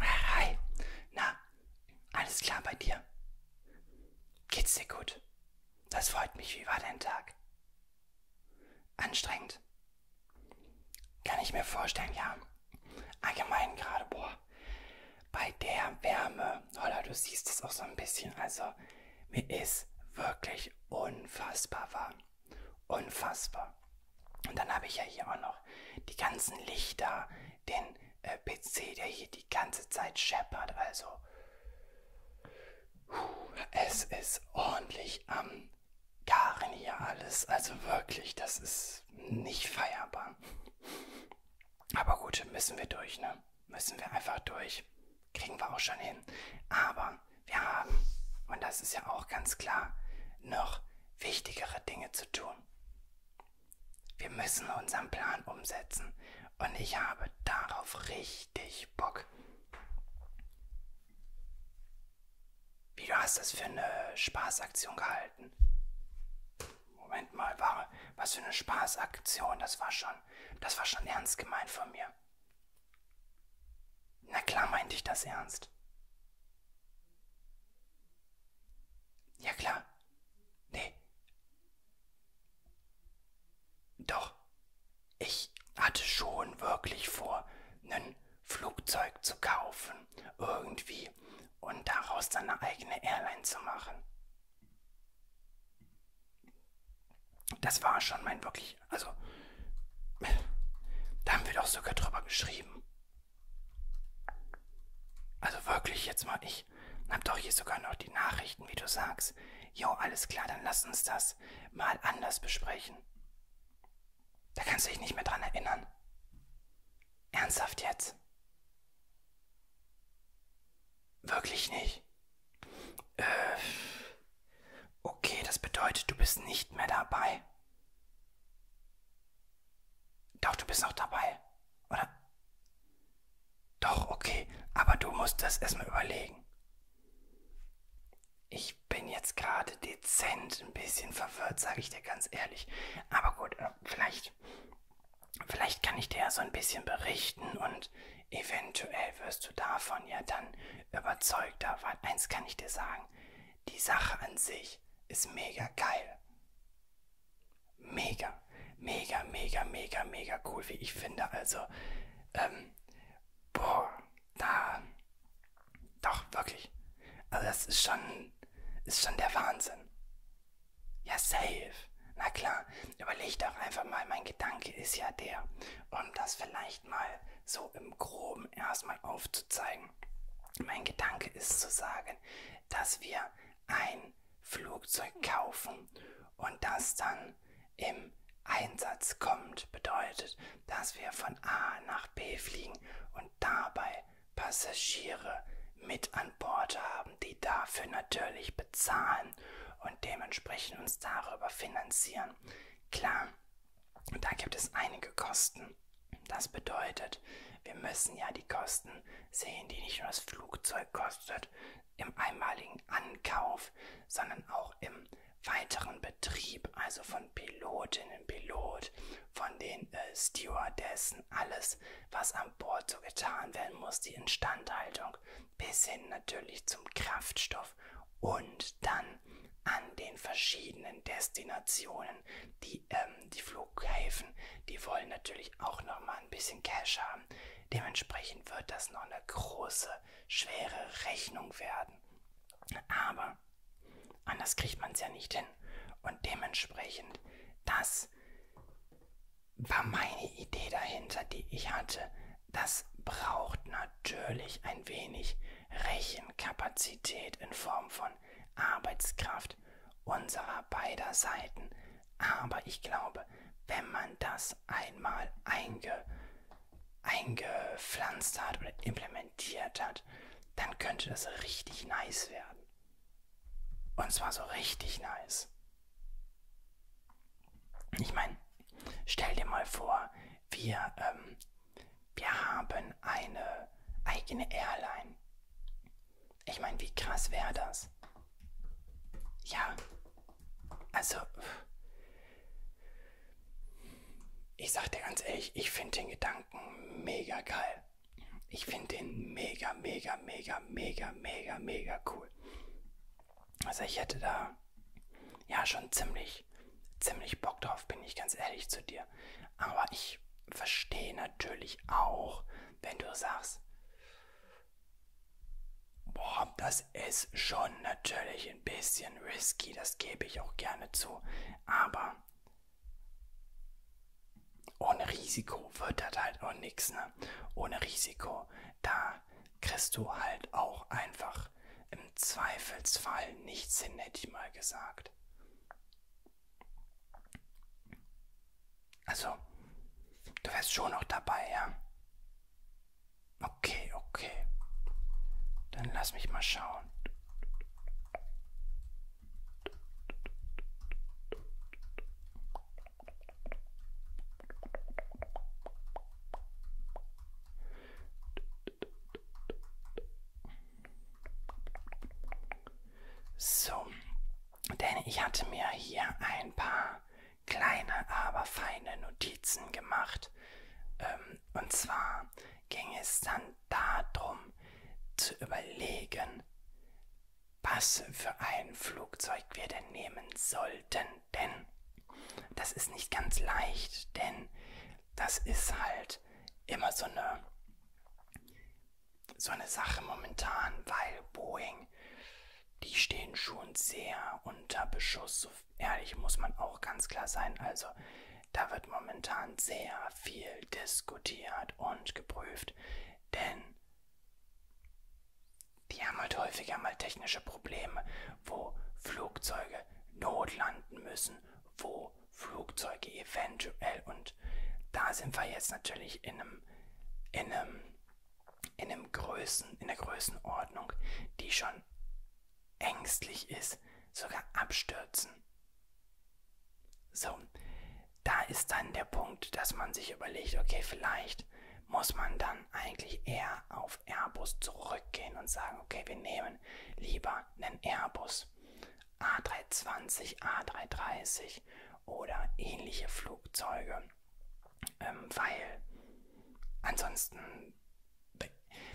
Hi, na, alles klar bei dir? Geht's dir gut? Das freut mich. Wie war dein Tag? Anstrengend. Kann ich mir vorstellen, ja. Allgemein gerade, boah, bei der Wärme, oder du siehst es auch so ein bisschen, also mir ist wirklich unfassbar warm. Unfassbar. Und dann habe ich ja hier auch noch die ganzen Lichter, den äh, PC, der hier die ganze Zeit scheppert. Also, puh, es ist ordentlich am Garen hier alles. Also wirklich, das ist nicht feierbar. Aber gut, müssen wir durch, ne? Müssen wir einfach durch. Kriegen wir auch schon hin. Aber wir haben, und das ist ja auch ganz klar, noch wichtigere Dinge zu tun. Wir müssen unseren Plan umsetzen und ich habe darauf richtig Bock. Wie du hast das für eine Spaßaktion gehalten? Moment mal, war, was für eine Spaßaktion, das war schon, das war schon ernst gemeint von mir. Na klar meinte ich das ernst. Ja klar. Nee. Doch, ich hatte schon wirklich vor, ein Flugzeug zu kaufen, irgendwie, und daraus dann eine eigene Airline zu machen. Das war schon mein wirklich, also, da haben wir doch sogar drüber geschrieben. Also wirklich jetzt mal, ich hab doch hier sogar noch die Nachrichten, wie du sagst. Jo, alles klar, dann lass uns das mal anders besprechen. Da kannst du dich nicht mehr dran erinnern. Ernsthaft jetzt? Wirklich nicht. Äh. Okay, das bedeutet, du bist nicht mehr dabei. Doch, du bist noch dabei, oder? Doch, okay, aber du musst das erstmal überlegen. Ich bin jetzt gerade dezent ein bisschen verwirrt, sage ich dir ganz ehrlich. Aber gut, äh, vielleicht, vielleicht kann ich dir ja so ein bisschen berichten und eventuell wirst du davon ja dann überzeugter. Weil eins kann ich dir sagen, die Sache an sich ist mega geil. Mega, mega, mega, mega, mega cool, wie ich finde. Also, ähm, boah, da, doch, wirklich. Also, das ist schon, ist schon der Wahnsinn. Ja, safe. Na klar, überleg doch einfach mal, mein Gedanke ist ja der, um das vielleicht mal so im Groben erstmal aufzuzeigen mein Gedanke ist zu sagen, dass wir ein Flugzeug kaufen und das dann im Einsatz kommt, bedeutet, dass wir von A nach B fliegen und dabei Passagiere mit an Bord haben, die dafür natürlich bezahlen und dementsprechend uns darüber finanzieren. Klar, und da gibt es einige Kosten. Das bedeutet, wir müssen ja die Kosten sehen, die nicht nur das Flugzeug kostet im einmaligen Ankauf, sondern auch im weiteren Betrieb, also von Pilotinnen, Pilot, von den äh, Stewardessen, alles, was an Bord so getan werden muss, die Instandhaltung, bis hin natürlich zum Kraftstoff und dann an den verschiedenen Destinationen, die, ähm, die Flughäfen, die wollen natürlich auch nochmal ein bisschen Cash haben. Dementsprechend wird das noch eine große, schwere Rechnung werden. Aber anders kriegt man es ja nicht hin. Und dementsprechend, das war meine Idee dahinter, die ich hatte. Das braucht natürlich ein wenig Rechenkapazität in Form von Arbeitskraft unserer beider Seiten. Aber ich glaube, wenn man das einmal einge, eingepflanzt hat oder implementiert hat, dann könnte das richtig nice werden. Und zwar so richtig nice. Ich meine, stell dir mal vor, wir ähm, wir haben eine eigene Airline. Ich meine, wie krass wäre das? Ja, also, ich sag dir ganz ehrlich, ich finde den Gedanken mega geil. Ich finde den mega, mega, mega, mega, mega, mega cool. Also ich hätte da ja schon ziemlich ich ziemlich Bock drauf, bin ich ganz ehrlich zu dir. Aber ich verstehe natürlich auch, wenn du sagst, boah, das ist schon natürlich ein bisschen risky, das gebe ich auch gerne zu. Aber ohne Risiko wird das halt auch nichts, ne? Ohne Risiko, da kriegst du halt auch einfach im Zweifelsfall nichts hin, hätte ich mal gesagt. Also, du wärst schon noch dabei, ja? Okay, okay. Dann lass mich mal schauen. So, denn ich hatte mir hier ein paar kleine, aber feine Notizen gemacht. Ähm, und zwar ging es dann darum zu überlegen, was für ein Flugzeug wir denn nehmen sollten. Denn das ist nicht ganz leicht, denn das ist halt immer so eine, so eine Sache momentan, weil Boeing, die stehen schon sehr unter Beschuss. So ehrlich muss man auch ganz klar sein. Also da wird momentan sehr viel diskutiert und geprüft, denn die haben halt häufiger mal technische Probleme, wo Flugzeuge notlanden müssen, wo Flugzeuge eventuell. Und da sind wir jetzt natürlich in einem, in einem, in einem Größen, in der Größenordnung, die schon ängstlich ist, sogar abstürzen. So, da ist dann der Punkt, dass man sich überlegt, okay, vielleicht muss man dann eigentlich eher auf Airbus zurückgehen und sagen, okay, wir nehmen lieber einen Airbus. A320, A330 oder ähnliche Flugzeuge, ähm, weil ansonsten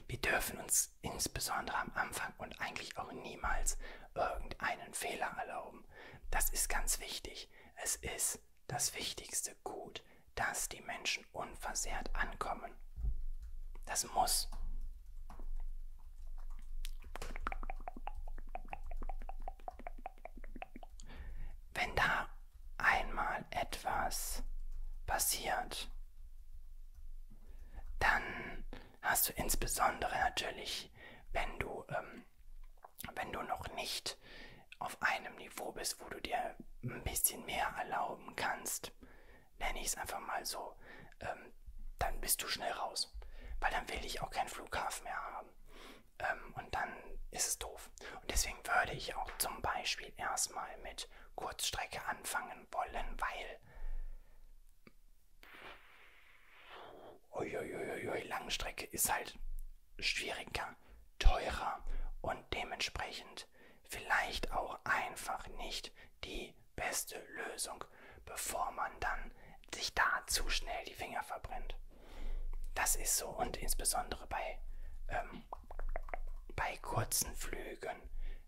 wir dürfen uns insbesondere am Anfang und eigentlich auch niemals irgendeinen Fehler erlauben. Das ist ganz wichtig. Es ist das wichtigste Gut, dass die Menschen unversehrt ankommen haben. Das muss. Wenn da einmal etwas passiert, dann hast du insbesondere natürlich, wenn du, ähm, wenn du noch nicht auf einem Niveau bist, wo du dir ein bisschen mehr erlauben kannst, nenne ich es einfach mal so, ähm, dann bist du schnell raus. Weil dann will ich auch keinen Flughafen mehr haben. Ähm, und dann ist es doof. Und deswegen würde ich auch zum Beispiel erstmal mit Kurzstrecke anfangen wollen, weil... Uiuiuiui, Langstrecke ist halt schwieriger, teurer und dementsprechend vielleicht auch einfach nicht die beste Lösung, bevor man dann sich da zu schnell die Finger verbrennt. Das ist so und insbesondere bei, ähm, bei kurzen Flügen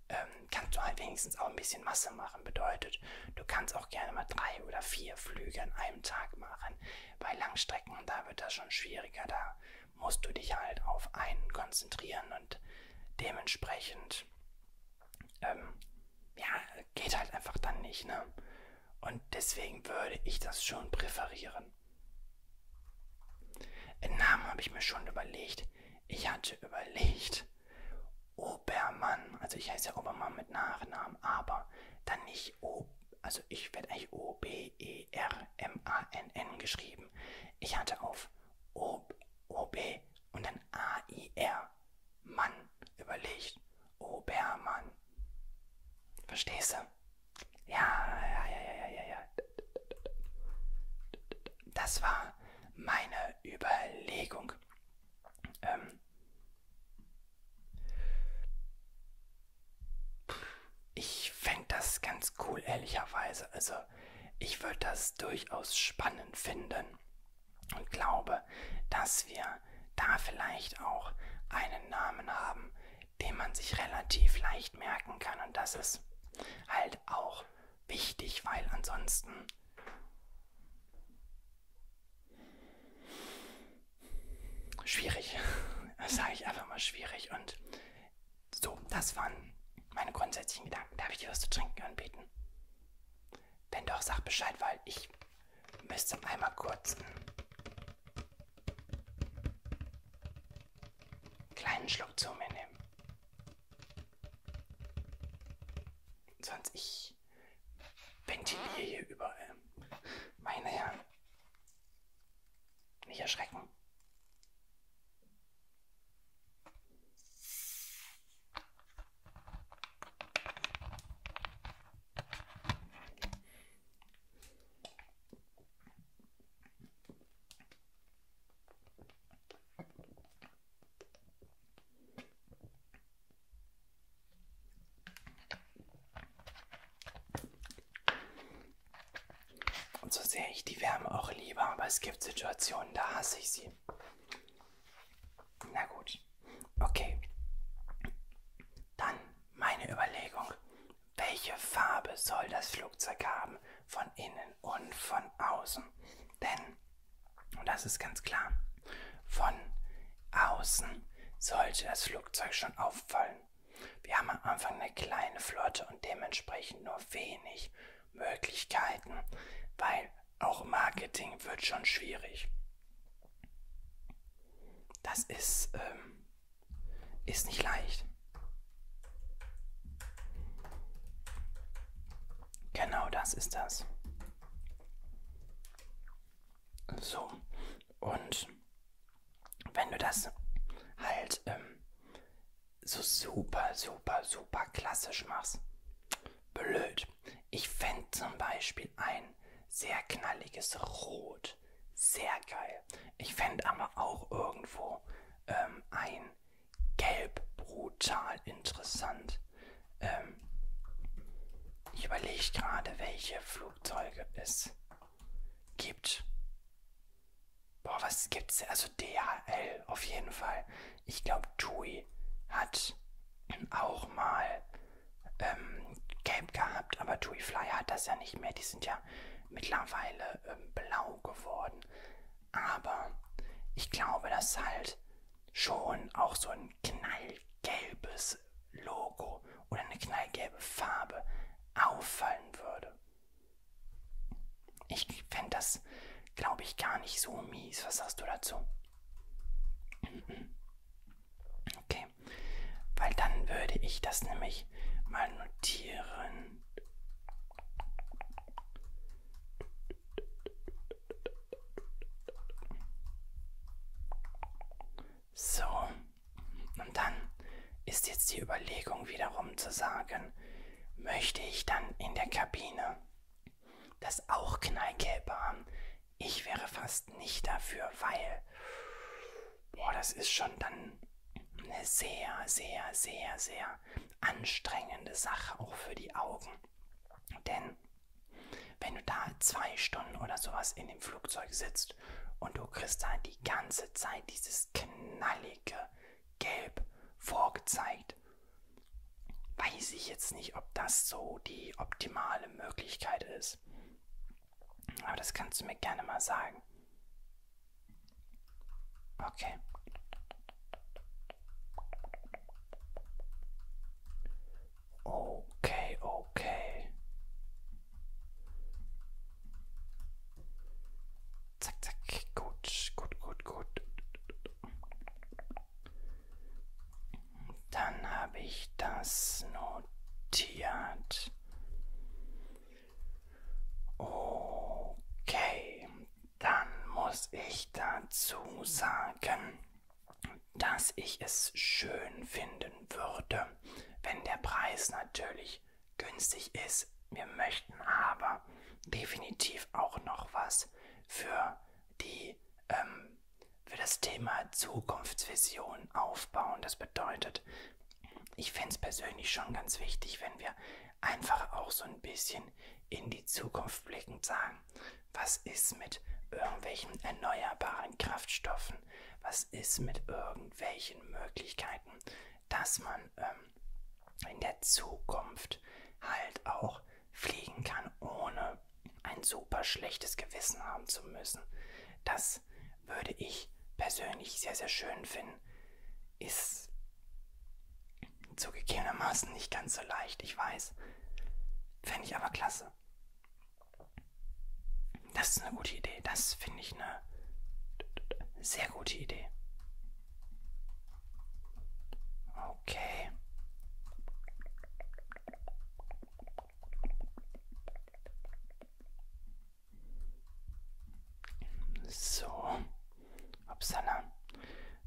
ähm, kannst du halt wenigstens auch ein bisschen Masse machen. Bedeutet, du kannst auch gerne mal drei oder vier Flüge an einem Tag machen. Bei Langstrecken, da wird das schon schwieriger. Da musst du dich halt auf einen konzentrieren und dementsprechend und ähm, ja, geht halt einfach dann nicht, ne? Und deswegen würde ich das schon präferieren. Den Namen habe ich mir schon überlegt. Ich hatte überlegt, Obermann, also ich heiße ja Obermann mit Nachnamen, aber dann nicht O, also ich werde eigentlich O-B-E-R-M-A-N-N geschrieben. Ich hatte auf O-B und dann A-I-R. Mann, überlegt. Obermann. Verstehst du? Ja, ja, ja, ja, ja, ja. Das war meine Überlegung. Ähm ich fände das ganz cool, ehrlicherweise. Also, Hause. Ich würde das durchaus spannend finden und glaube, dass wir da vielleicht auch einen Namen haben, den man sich relativ leicht merken kann. Und das ist halt auch wichtig, weil ansonsten schwierig. Das sage ich einfach mal schwierig. Und so, das waren meine grundsätzlichen Gedanken. Darf ich dir was zu trinken anbieten? Wenn doch, sag Bescheid, weil ich müsste einmal kurz einen kleinen Schluck zu mir nehmen. Sonst ich ventiliere hier überall. Meine Herren, nicht erschrecken. Und so sehr ich die Wärme auch liebe, aber es gibt Situationen, da hasse ich sie sie. Na gut, okay. Dann meine Überlegung. Welche Farbe soll das Flugzeug haben? Von innen und von außen. Denn, und das ist ganz klar, von außen sollte das Flugzeug schon auffallen. Wir haben am Anfang eine kleine Flotte und dementsprechend nur wenig Möglichkeiten, weil auch Marketing wird schon schwierig. Das ist, ähm, ist nicht leicht. Genau das ist das. So, und wenn du das halt ähm, so super, super, super klassisch machst. Blöd. Ich fände zum Beispiel ein sehr knalliges Rot sehr geil. Ich fände aber auch irgendwo ähm, ein Gelb brutal interessant. Ähm, ich überlege gerade, welche Flugzeuge es gibt. Boah, was gibt's? Also DHL auf jeden Fall. Ich glaube, TUI hat auch mal ähm, Gelb gehabt, aber TUI Fly hat das ja nicht mehr. Die sind ja mittlerweile ähm, blau geworden. Aber ich glaube, dass halt schon auch so ein knallgelbes Logo oder eine knallgelbe Farbe auffallen würde. Ich fände das, glaube ich, gar nicht so mies. Was sagst du dazu? Mhm. Okay, weil dann würde ich das nämlich mal notieren. So, und dann ist jetzt die Überlegung wiederum zu sagen, möchte ich dann in der Kabine das auch knallgelb haben. Ich wäre fast nicht dafür, weil, boah, das ist schon dann eine sehr, sehr, sehr, sehr anstrengende Sache, auch für die Augen. Denn wenn du da zwei Stunden oder sowas in dem Flugzeug sitzt und du kriegst da die ganze Zeit dieses knallige, gelb vorgezeigt. Weiß ich jetzt nicht, ob das so die optimale Möglichkeit ist. Aber das kannst du mir gerne mal sagen. Okay. Okay, okay. Zack, zack. Gut, gut, gut, gut. Dann habe ich das notiert. Okay, dann muss ich dazu sagen, dass ich es schön finden würde, wenn der Preis natürlich günstig ist nichts. Wir möchten aber definitiv auch noch was für die ähm, für das Thema Zukunftsvision aufbauen. Das bedeutet, ich fände es persönlich schon ganz wichtig, wenn wir einfach auch so ein bisschen in die Zukunft blickend sagen, was ist mit irgendwelchen erneuerbaren Kraftstoffen, was ist mit irgendwelchen Möglichkeiten, dass man man ähm, in der Zukunft halt auch fliegen kann, ohne ein super schlechtes Gewissen haben zu müssen. Das würde ich persönlich sehr, sehr schön finden. Ist zugegebenermaßen nicht ganz so leicht, ich weiß. Fände ich aber klasse. Das ist eine gute Idee. Das finde ich eine sehr gute Idee. Okay. So. Upsala.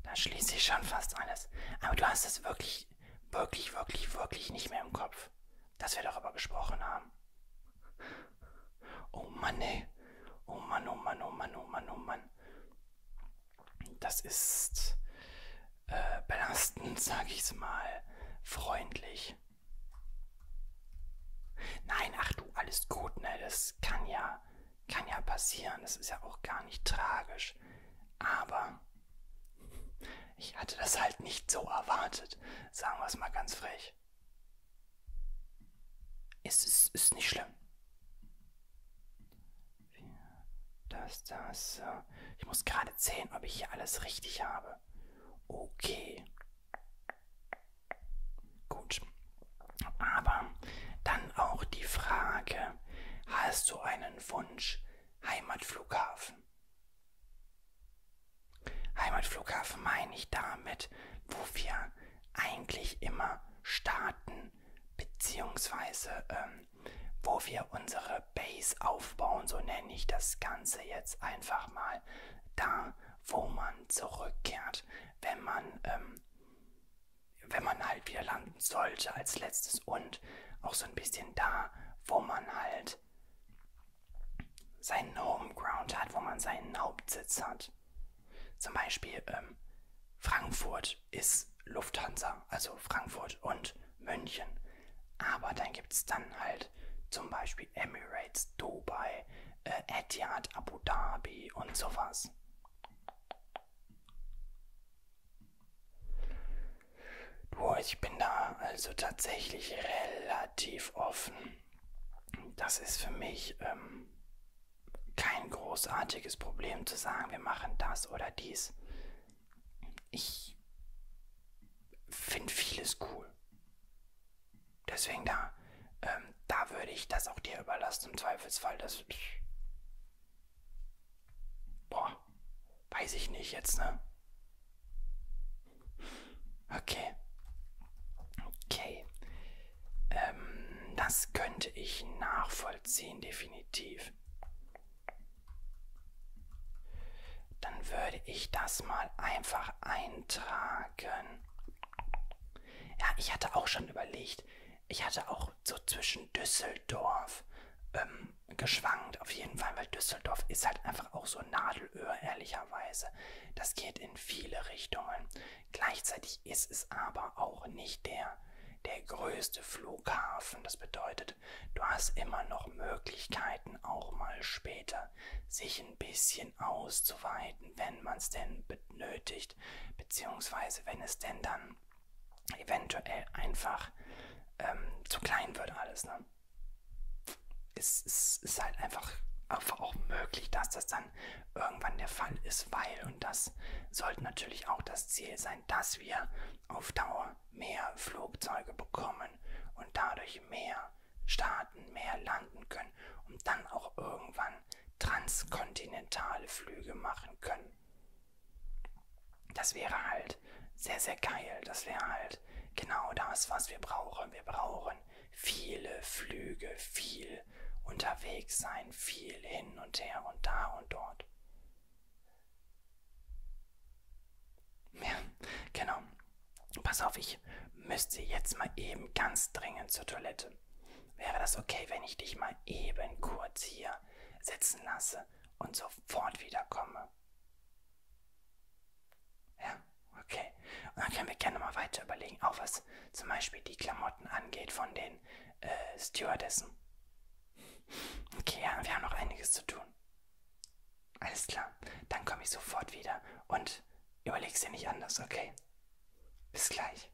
Da schließe ich schon fast alles. Aber du hast es wirklich, wirklich, wirklich, wirklich nicht mehr im Kopf. Dass wir darüber gesprochen haben. Oh Mann, ey. Oh Mann, oh Mann, oh Mann, oh Mann, oh Mann, oh Mann. Das ist äh, belastend, sage ich es mal, freundlich. Nein, ach du, alles gut, ne? Das kann ja, kann ja passieren. Das ist ja auch gar nicht tragisch. Aber ich hatte das halt nicht so erwartet. Sagen wir es mal ganz frech. Ist, ist, ist nicht schlimm. Das, das, so. Äh, ich muss gerade zählen, ob ich hier alles richtig habe. Okay. Gut. Aber dann auch die Frage, hast du einen Wunsch Heimatflughafen? Heimatflughafen meine ich damit, wo wir eigentlich immer starten, beziehungsweise ähm, wo wir unsere Base aufbauen, so nenne ich das Ganze jetzt einfach mal, da wo man zurückkehrt, wenn man, ähm, wenn man halt wieder landen sollte als letztes und auch so ein bisschen da, wo man halt seinen Homeground hat, wo man seinen Hauptsitz hat. Zum Beispiel ähm, Frankfurt ist Lufthansa, also Frankfurt und München. Aber dann gibt es dann halt zum Beispiel Emirates, Dubai, äh, Etihad, Abu Dhabi und sowas. Boah, ich bin da also tatsächlich relativ offen. Das ist für mich ähm, kein großartiges Problem zu sagen, wir machen das oder dies. Ich finde vieles cool. Deswegen da, ähm, da würde ich das auch dir überlassen im Zweifelsfall. Das boah, weiß ich nicht jetzt, ne? Okay. Okay. Ähm, das könnte ich nachvollziehen, definitiv. Dann würde ich das mal einfach eintragen. Ja, ich hatte auch schon überlegt. Ich hatte auch so zwischen Düsseldorf ähm, geschwankt, auf jeden Fall, weil Düsseldorf ist halt einfach auch so Nadelöhr, ehrlicherweise. Das geht in viele Richtungen. Gleichzeitig ist es aber auch nicht der, der größte Flughafen. Das bedeutet, du hast immer noch Möglichkeiten, auch mal später sich ein bisschen auszuweiten, wenn man es denn benötigt, beziehungsweise wenn es denn dann eventuell einfach ähm, zu klein wird alles. Ne? Es, es ist halt einfach, einfach auch möglich, dass das dann dann irgendwann der Fall ist, weil, und das sollte natürlich auch das Ziel sein, dass wir auf Dauer mehr Flugzeuge bekommen und dadurch mehr starten, mehr landen können und dann auch irgendwann transkontinentale Flüge machen können. Das wäre halt sehr, sehr geil. Das wäre halt genau das, was wir brauchen. Wir brauchen viele Flüge, viel unterwegs sein, viel hin und her und da und dort. Ja, genau. Pass auf, ich müsste jetzt mal eben ganz dringend zur Toilette. Wäre das okay, wenn ich dich mal eben kurz hier sitzen lasse und sofort wiederkomme? Ja, okay. Und dann können wir gerne mal weiter überlegen, auch was was zum Beispiel die Klamotten angeht von den äh, Stewardessen. Okay, ja, wir haben noch einiges zu tun. Alles klar, dann komme ich sofort wieder und überleg's dir nicht anders, okay? Bis gleich.